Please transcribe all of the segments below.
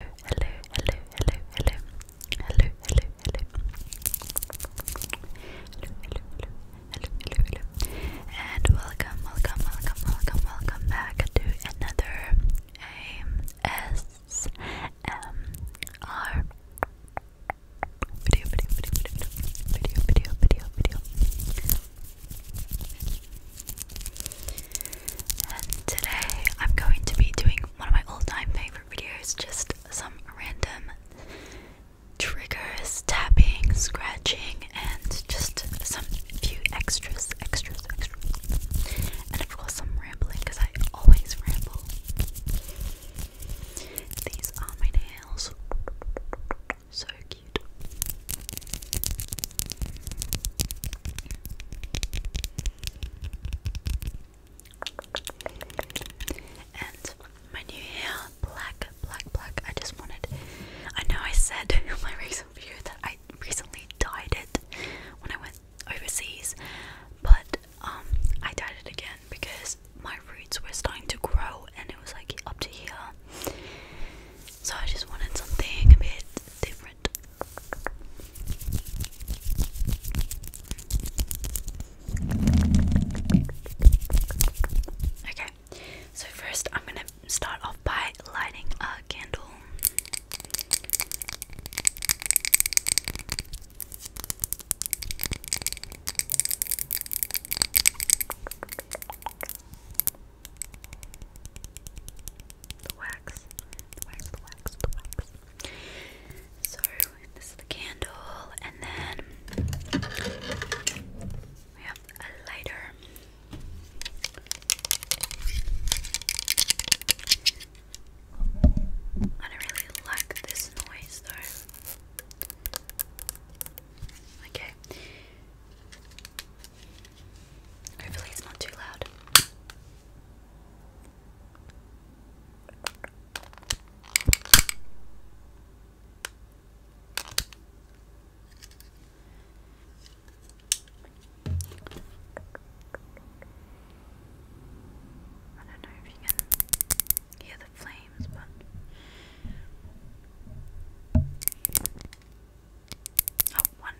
hello, hello, hello, hello, hello, hello, hello, hello, hello, hello, hello, hello, hello, and welcome, welcome, welcome, welcome, welcome back to another ASMR video, video, video, video, video, video, video, video. And today I'm going to be doing one of my all time favorite videos just some random triggers, tapping, scratching, and just some few extras, extras, extras. And of course, some rambling because I always ramble. These are my nails. So cute. And my new hair, black, black, black. I just wanted. I know I said my recent video that I recently dyed it when I went overseas, but um, I dyed it again because my roots were starting to grow and it was like up to here. So I just wanted something a bit different. Okay, so first I'm going to start off by lighting a candle the wax, the wax, the wax, the wax. So this is the candle, and then we have a lighter. I don't really like this noise though. Okay. Hopefully it's not too loud. I don't know if you can hear the flames, but. Oh, one.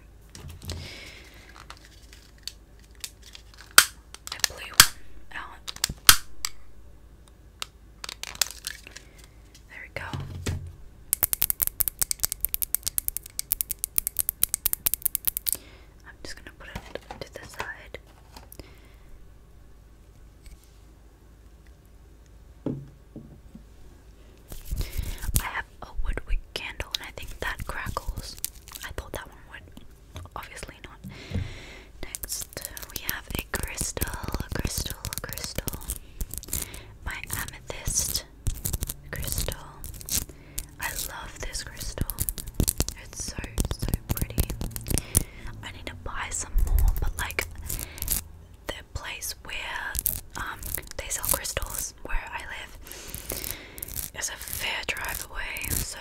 I blew one out. There we go. I'm just going to put it to the side. I have a woodwick candle, and I think that crackles. I thought that one would, obviously not. Next, we have a crystal, a crystal, a crystal. My amethyst crystal. I love this crystal. It's so so pretty. I need to buy some more, but like the place where um they sell crystals where I live it's a fair drive away, so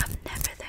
I'm never there.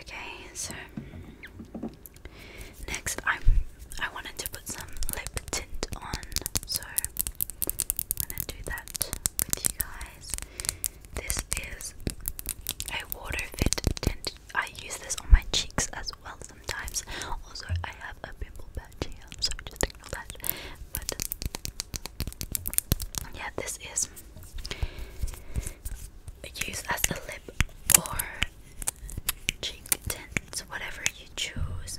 Okay, so next I'm I wanted to put some lip tint on, so I'm gonna do that with you guys. This is a water fit tint. I use this on my cheeks as well sometimes. Also, I have a pimple patch here, so just ignore that. But yeah, this is Use as a lip or cheek tint, whatever you choose.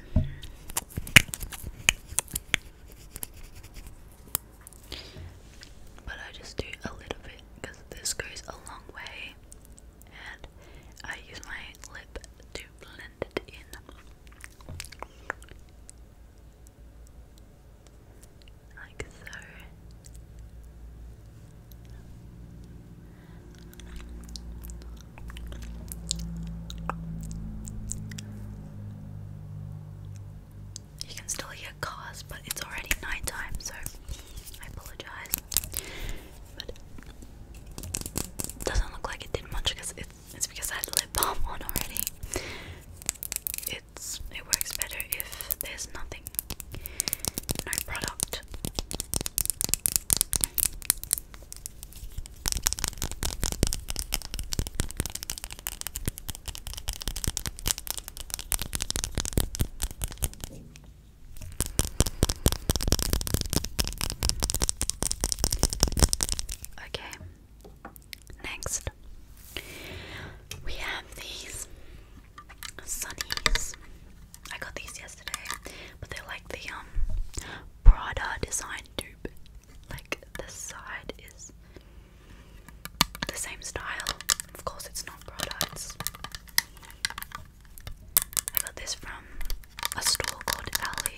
But I just do a little bit because this goes a long way, and I use my lip to blend it in like so. You can still hear cars, but it's already nighttime, so I apologize. But doesn't look like it did much because it's, it's because I had lip balm on already it's it works better if there's nothing, no product. Okay, Next, we have these sunnies. I got these yesterday, but they're like the um Prada design dupe. Like the side is the same style. Of course, it's not Prada. I got this from a store called Alley.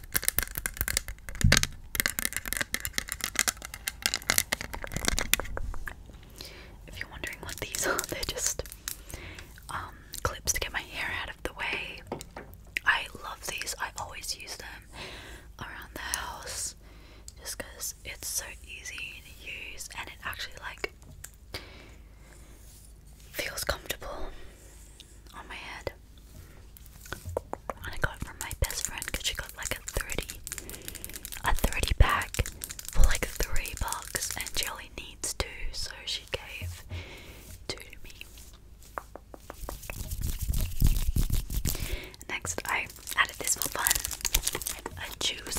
If you're wondering what these are, they're just um, clips to get my hair out of the way. I love these, I always use them around the house just because it's so easy to use and it actually like feels comfortable on my head. And I got it from my best friend because she got like a 30, a 30 pack for like three bucks, and she needs two, so she gave two to me. Next, I added this for fun a juice.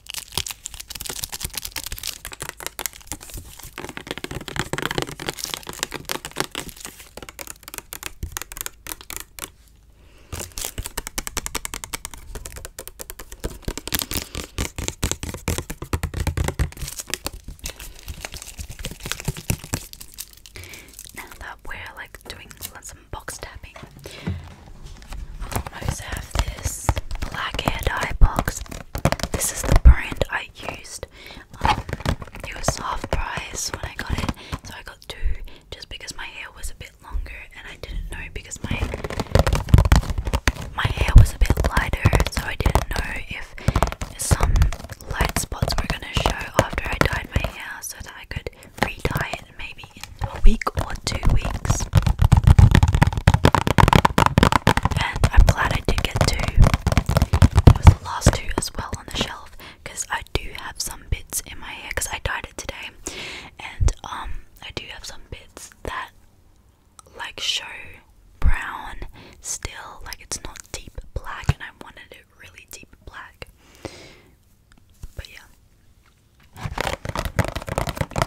Now that we're like doing some box tapping, almost have this black hair dye box. This is the brand I used. Um, it was half price when I got it, so I got two just because my hair was a bit longer and I didn't know because my my hair was a bit lighter, so I didn't know if some light spots were gonna show after I dyed my hair so that I could re it and maybe a week or two weeks. And I'm glad I did get two. It last two as well on the shelf I do have some bits in my hair I dyed it today. And um I do have some bits that like show brown still, like it's not deep black and I wanted it really deep black. But yeah.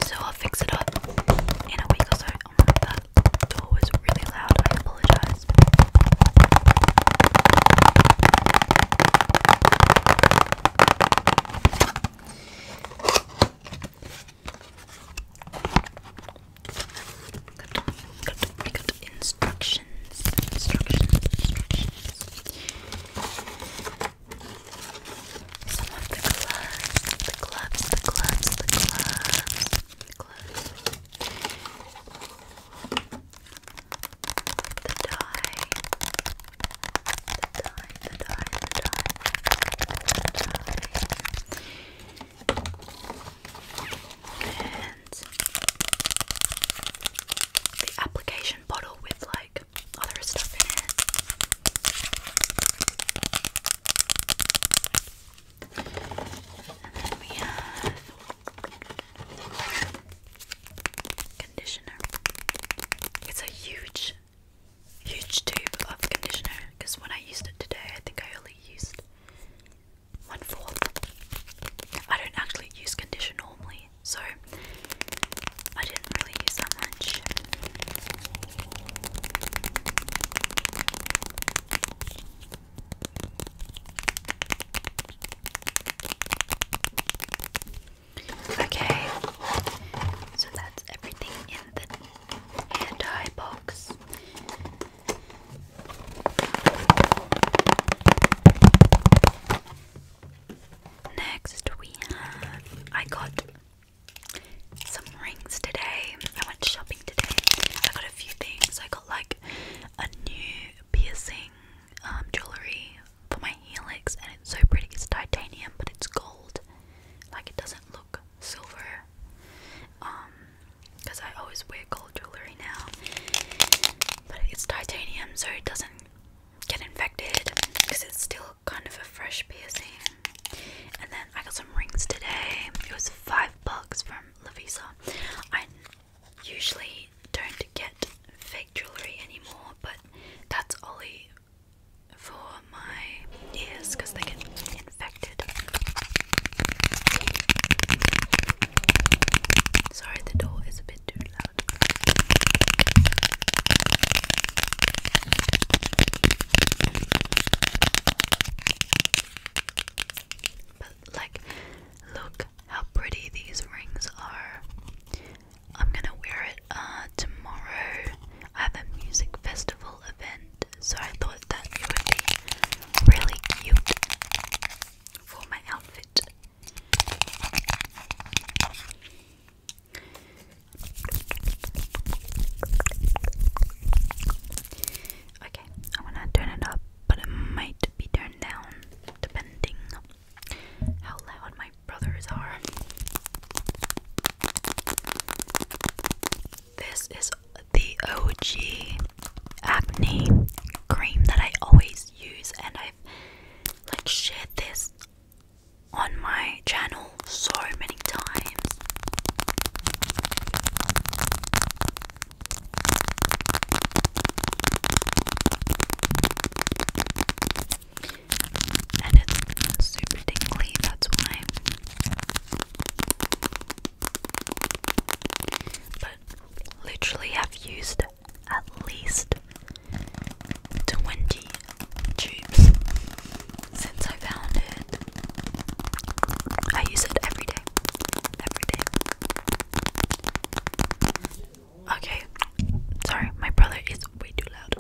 So I'll fix it up in a week or so. Oh my god, that door was really loud. I apologize. We got Instructions. Some of the gloves, the gloves, the gloves, the gloves, the gloves. The dye, the dye, the dye, the dye, the dye. And the application bottle with like like other stuff in it. And then we have conditioner. It's a huge, huge tube of conditioner because when I used it today, I think I only used one fourth. I don't actually use conditioner normally, so I didn't really use that much. Okay, so that's everything in the hand box. Next, we have I got some rings today. I went shopping today. I got a few things. I got like a new piercing um, jewelry for my helix, and it's so pretty. It's titanium, but it's gold. Like it doesn't look silver. because um, I always wear gold jewelry now, but it's titanium, so it doesn't get infected because it's still kind of a fresh piercing. And then I got some rings today. It was five bucks from Lavisa. I usually don't get fake jewelry anymore, but that's Ollie for my ears because they can be infected. Sorry, the door is a bit too loud. But like look how pretty these rings are. I'm gonna wear it uh tomorrow. I have a music festival event, so I thought that it would be really cute for my outfit. Okay, I'm gonna turn it up, but it might be turned down depending how loud my brothers are. This is the OG acne cream that I always use, and I've like shared this on my channel so many times. And it's super tingly, that's why. But literally, I've used at least 20 tubes since I found it. I use it every day. Every day. Okay. Sorry, my brother is way too loud.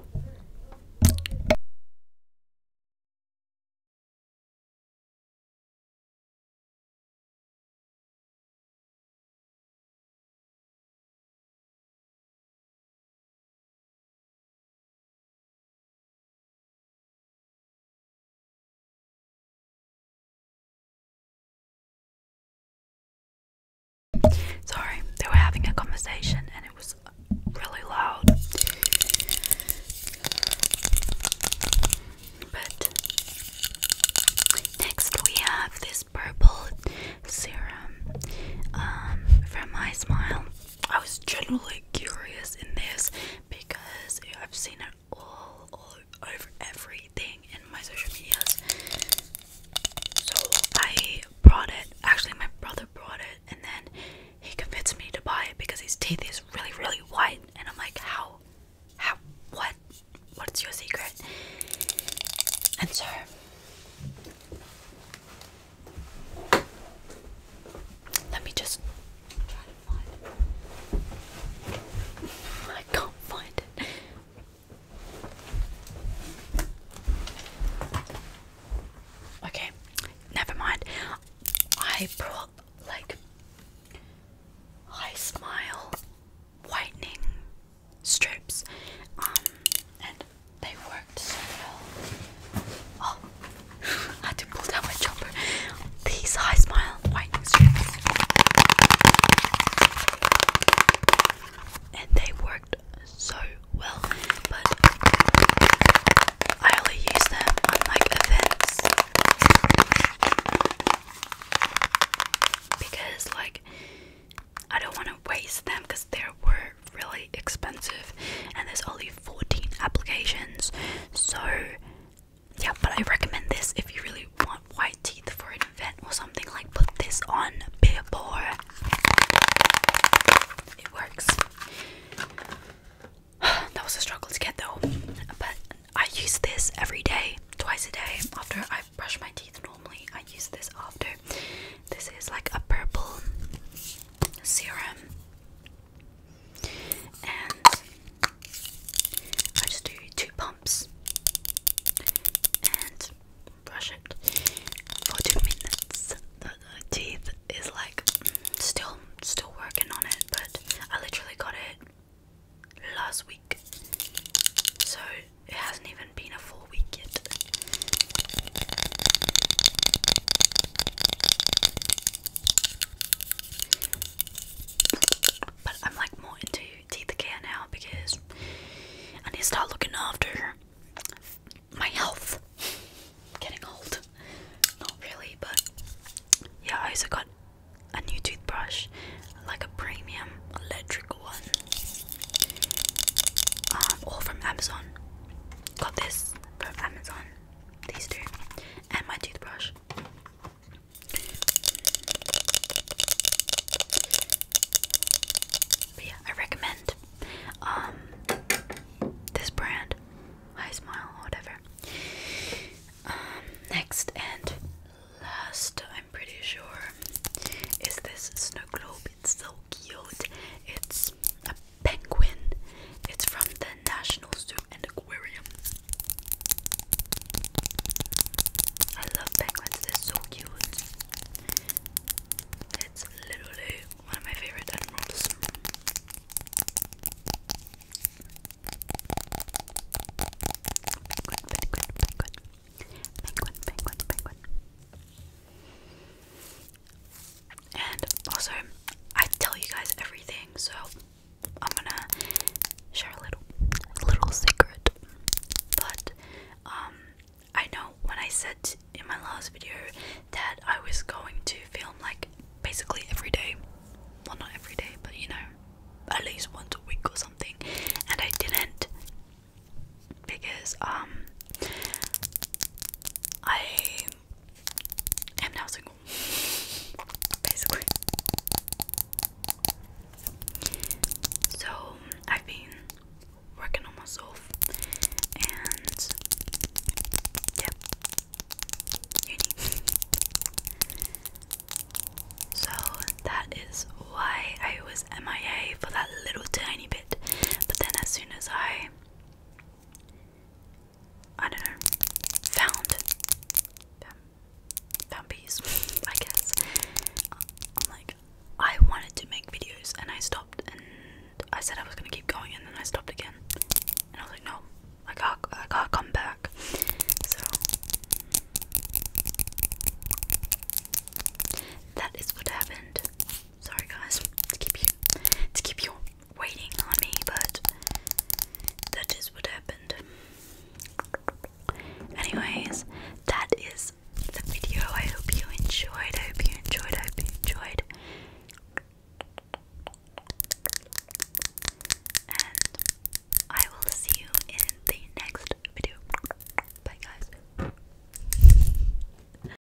Sorry, they were having a conversation and it was really loud. But next we have this purple serum um, from My Smile. I was generally curious in this because I've seen it all, all over everything in my social medias. So I brought it. Actually, my brother brought it, and then he convinced me to buy it because his teeth is really, really white. And I'm like, how, how, what, what's your secret? Answer. Let me just try to find it. I can't find it. Okay, never mind. I brought like high smile whitening strips, um, and they worked so well. Oh, I had to pull down my jumper. Please, high smile. Wait, and they worked so well, but I only use them on like events because, like, I don't want to waste them because there were really expensive and there's only 14 applications so yeah but i recommend this if you really want white teeth for an event or something like put this on billboard it works that was a struggle to get though but i use this every day twice a day after i brush my teeth normally i use this after this is like a purple serum, and I just do two pumps and brush it for two minutes. The, teeth is like still still working on it, but I literally got it last week, so it hasn't even been a full we get but I'm like more into teeth care now because I need to start looking after my health. Getting old. Not really, but yeah, I also got a new toothbrush, like a premium electric one. Um, all from Amazon. Got this from Amazon. These two. And my toothbrush. But yeah, I recommend um this brand. I smile whatever. Um, next and last I'm pretty sure is this snow globe. It's the cute. It's a penguin. It's from the National Zoo and Aquarium. I love penguins. They're so cute. It's literally one of my favorite animals. Penguin, penguin, penguin. Penguin, penguin, penguin. And also, I tell you guys everything, so I'm gonna share a little, little secret. But um, I know when I said in my last video that I was going to film like basically every day. Well, not every day, but you know, at least once a week or something. And I didn't because um I am now single basically. So I've been working on myself and yeah So that is why I was MIA for that little tiny bit. But then as soon as I I don't know, found found, peace, I guess. I'm like, I wanted to make videos and I stopped and I said I was gonna keep going and then I stopped again. And I was like, no, I can't, I can't come back. So, that is what happened. Sorry guys to keep you to keep you waiting on me, but that is what happened. Anyways, that is the video. I hope you enjoyed. I hope you enjoyed. I hope you enjoyed. And I will see you in the next video. Bye guys.